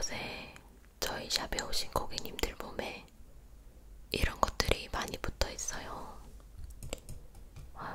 요새 저희 샵에 오신 고객님들 몸에 이런 것들이 많이 붙어 있어요. 아유.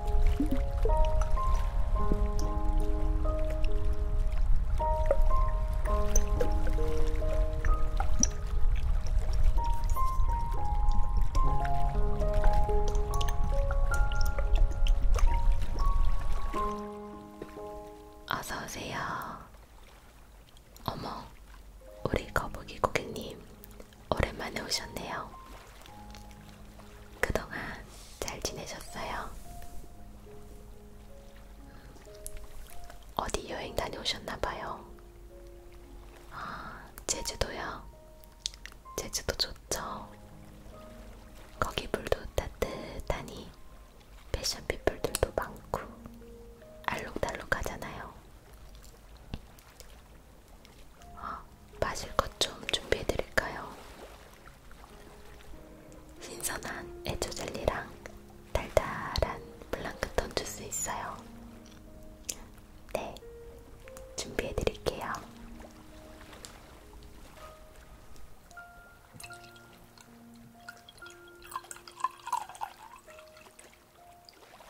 어서오세요. 어머, 우리 거북이 고객님, 오랜만에 오셨네요. 그동안 잘 지내셨어요? 어디 여행 다녀오셨나봐요. 아, 제주도요? 제주도 좋죠. 거기 물도 따뜻하니 패션 피플들도 많고 알록달록하잖아요. 마실 것 좀 준비해드릴까요? 신선한 애초젤리랑 달달한 플랑크톤 주스 있어요. 네, 준비해드릴게요.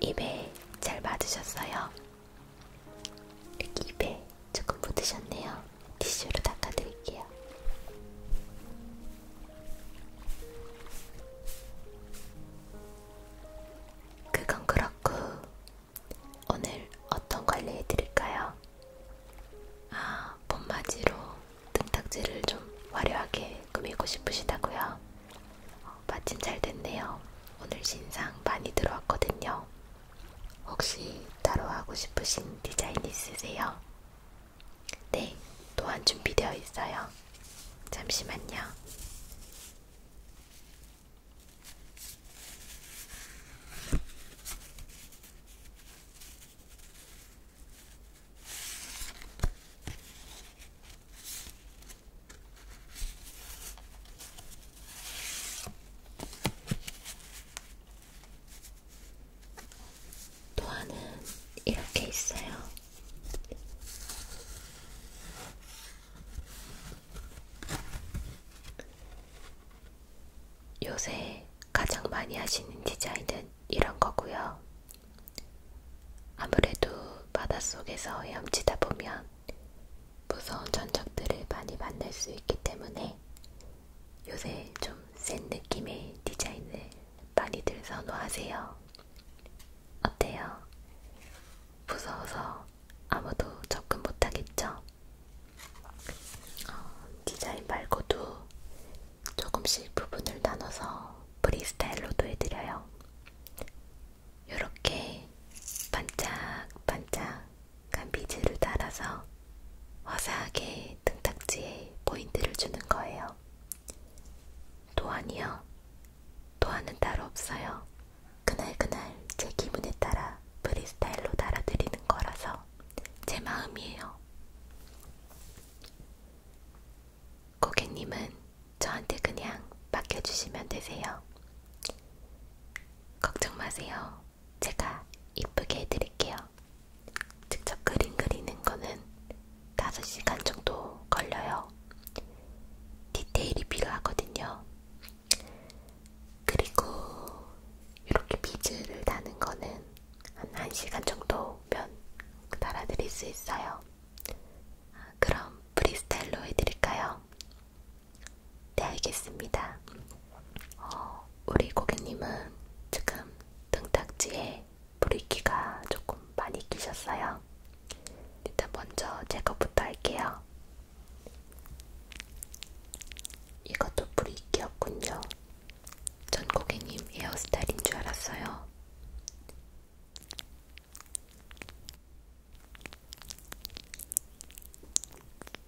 입에 잘 맞으셨어요? 여기 입에 조금 묻으셨네요. 티슈로 닦아드릴게요. 그건 그렇고 오늘 어떤 관리해드릴까요? 아, 봄맞이로 등딱지를 좀 화려하게 꾸미고 싶으시다고요? 어, 마침 잘 됐네요. 오늘 신상 많이 들어왔거든요. 혹시 따로 하고 싶으신 디자인 있으세요? 네, 또한 준비되어 있어요. 잠시만요. 도안은 이렇게 있어요. 요새 가장 많이 하시는 디자인은 이런 거고요. 아무래도 바닷속에서 헤엄치다 보면 무서운 전적들을 많이 만날 수 있기 때문에 요새 좀 센 느낌의 디자인을 많이들 선호하세요. 어때요? 무서워서 아무도 접근 못하겠죠? 어, 디자인 말고도 조금씩 부분을 나눠서 프리스타일로도 해드려요. 이렇게 반짝반짝 간비즈를 따라서 화사하게 등딱지에 포인트를 주는 거예요. 도안이요? 도안은 따로 없어요. 그날그날 제 기분에 따라 프리스타일로 달아드리는 거라서 제 마음이에요. 고객님은 저한테 그냥 맡겨주시면 되세요. 걱정 마세요. 제가 이쁘게 해드릴게요. 직접 그림 그리는 거는 5시간 정도 걸려요. 디테일이 필요하거든요. 그리고 이렇게 비즈를 다는 거는 한 1시간 정도면 달아드릴 수 있어요. 그럼 프리스타일로 해드릴까요? 네, 알겠습니다. 어, 우리 고객님은 지금 등딱지에 브릿기가 조금 많이 끼셨어요. 일단 먼저 제거부터 할게요. 이것도 브릿기였군요. 전 고객님 헤어스타일인 줄 알았어요.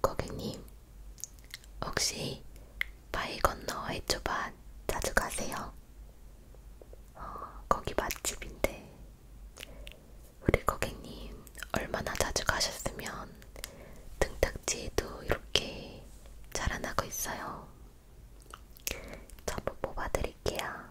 고객님, 혹시 바이 건너 해초밭 자주 가세요? 어, 거기 맛집인데 우리 고객님 얼마나 자주 가셨으면 등딱지에도 이렇게 자라나고 있어요. 전부 뽑아드릴게요.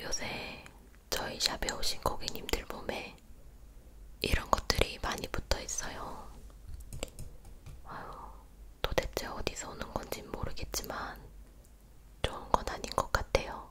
요새 저희 샵에 오신 고객님들 몸에 있는데 이런 것들이 많이 붙어 있어요. 아유, 도대체 어디서 오는 건지 모르겠지만 좋은 건 아닌 것 같아요.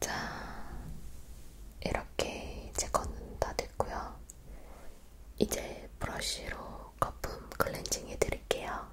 자, 이렇게 이제 거는 다 됐고요. 이제 브러쉬로 거품 클렌징 해드릴게요.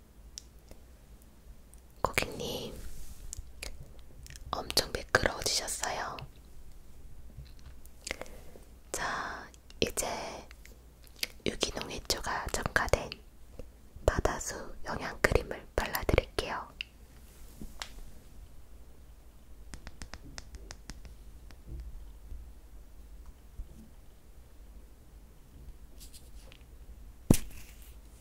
고객님, 엄청 매끄러워지셨어요. 자, 이제 유기농 해초가 첨가된 바다수 영양크림을 발라드릴게요.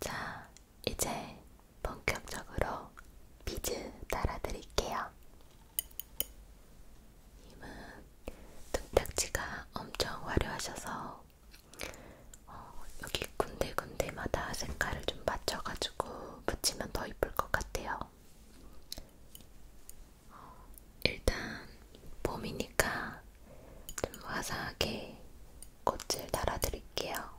자, 이제 본격적으로 비즈 달아드릴게요. 님은 등딱지가 엄청 화려하셔서 어, 여기 군데군데마다 색깔을 좀 맞춰가지고 붙이면 더 이쁠 것 같아요. 일단 봄이니까 좀 화사하게 꽃을 달아드릴게요.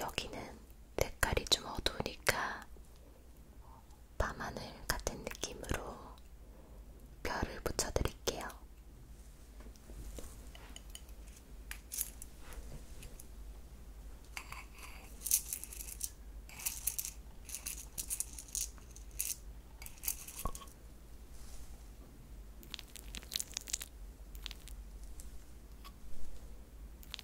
어, 여기는 색깔이 좀 어두우니까 밤하늘 같은 느낌으로 별을 붙여드릴게요.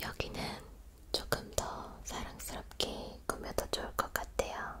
여기는 조금 더 사랑스럽게 꾸며도 좋을 것 같아요.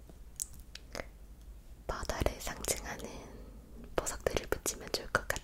바다를 상징하는 보석들을 붙이면 좋을 것 같아요.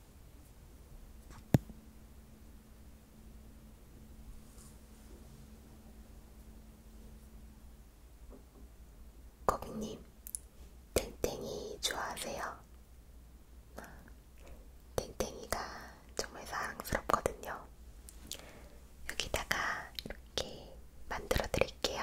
고객님, 땡땡이 좋아하세요? 땡땡이가 정말 사랑스럽거든요. 여기다가 이렇게 만들어 드릴게요.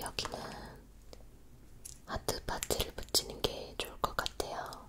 여기는 하트 파츠를 붙이는 게 좋을 것 같아요.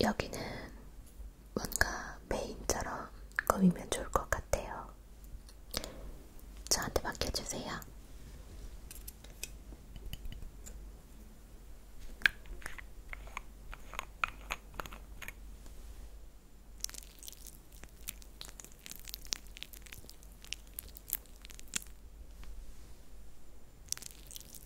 여기는 뭔가 메인처럼 꾸미면 좋을 것 같아요. 저한테 맡겨주세요.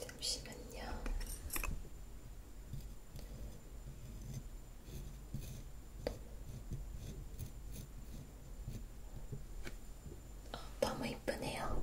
잠시만요. 어, 너무 이쁘네요.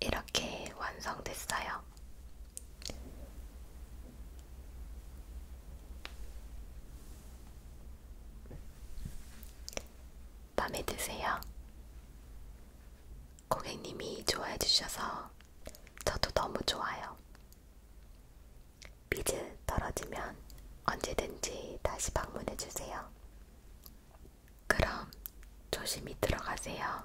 이렇게 완성됐어요. 마음에 드세요? 고객님이 좋아해 주셔서 저도 너무 좋아요. 비즈 떨어지면 언제든지 다시 방문해 주세요. 그럼 조심히 들어가세요.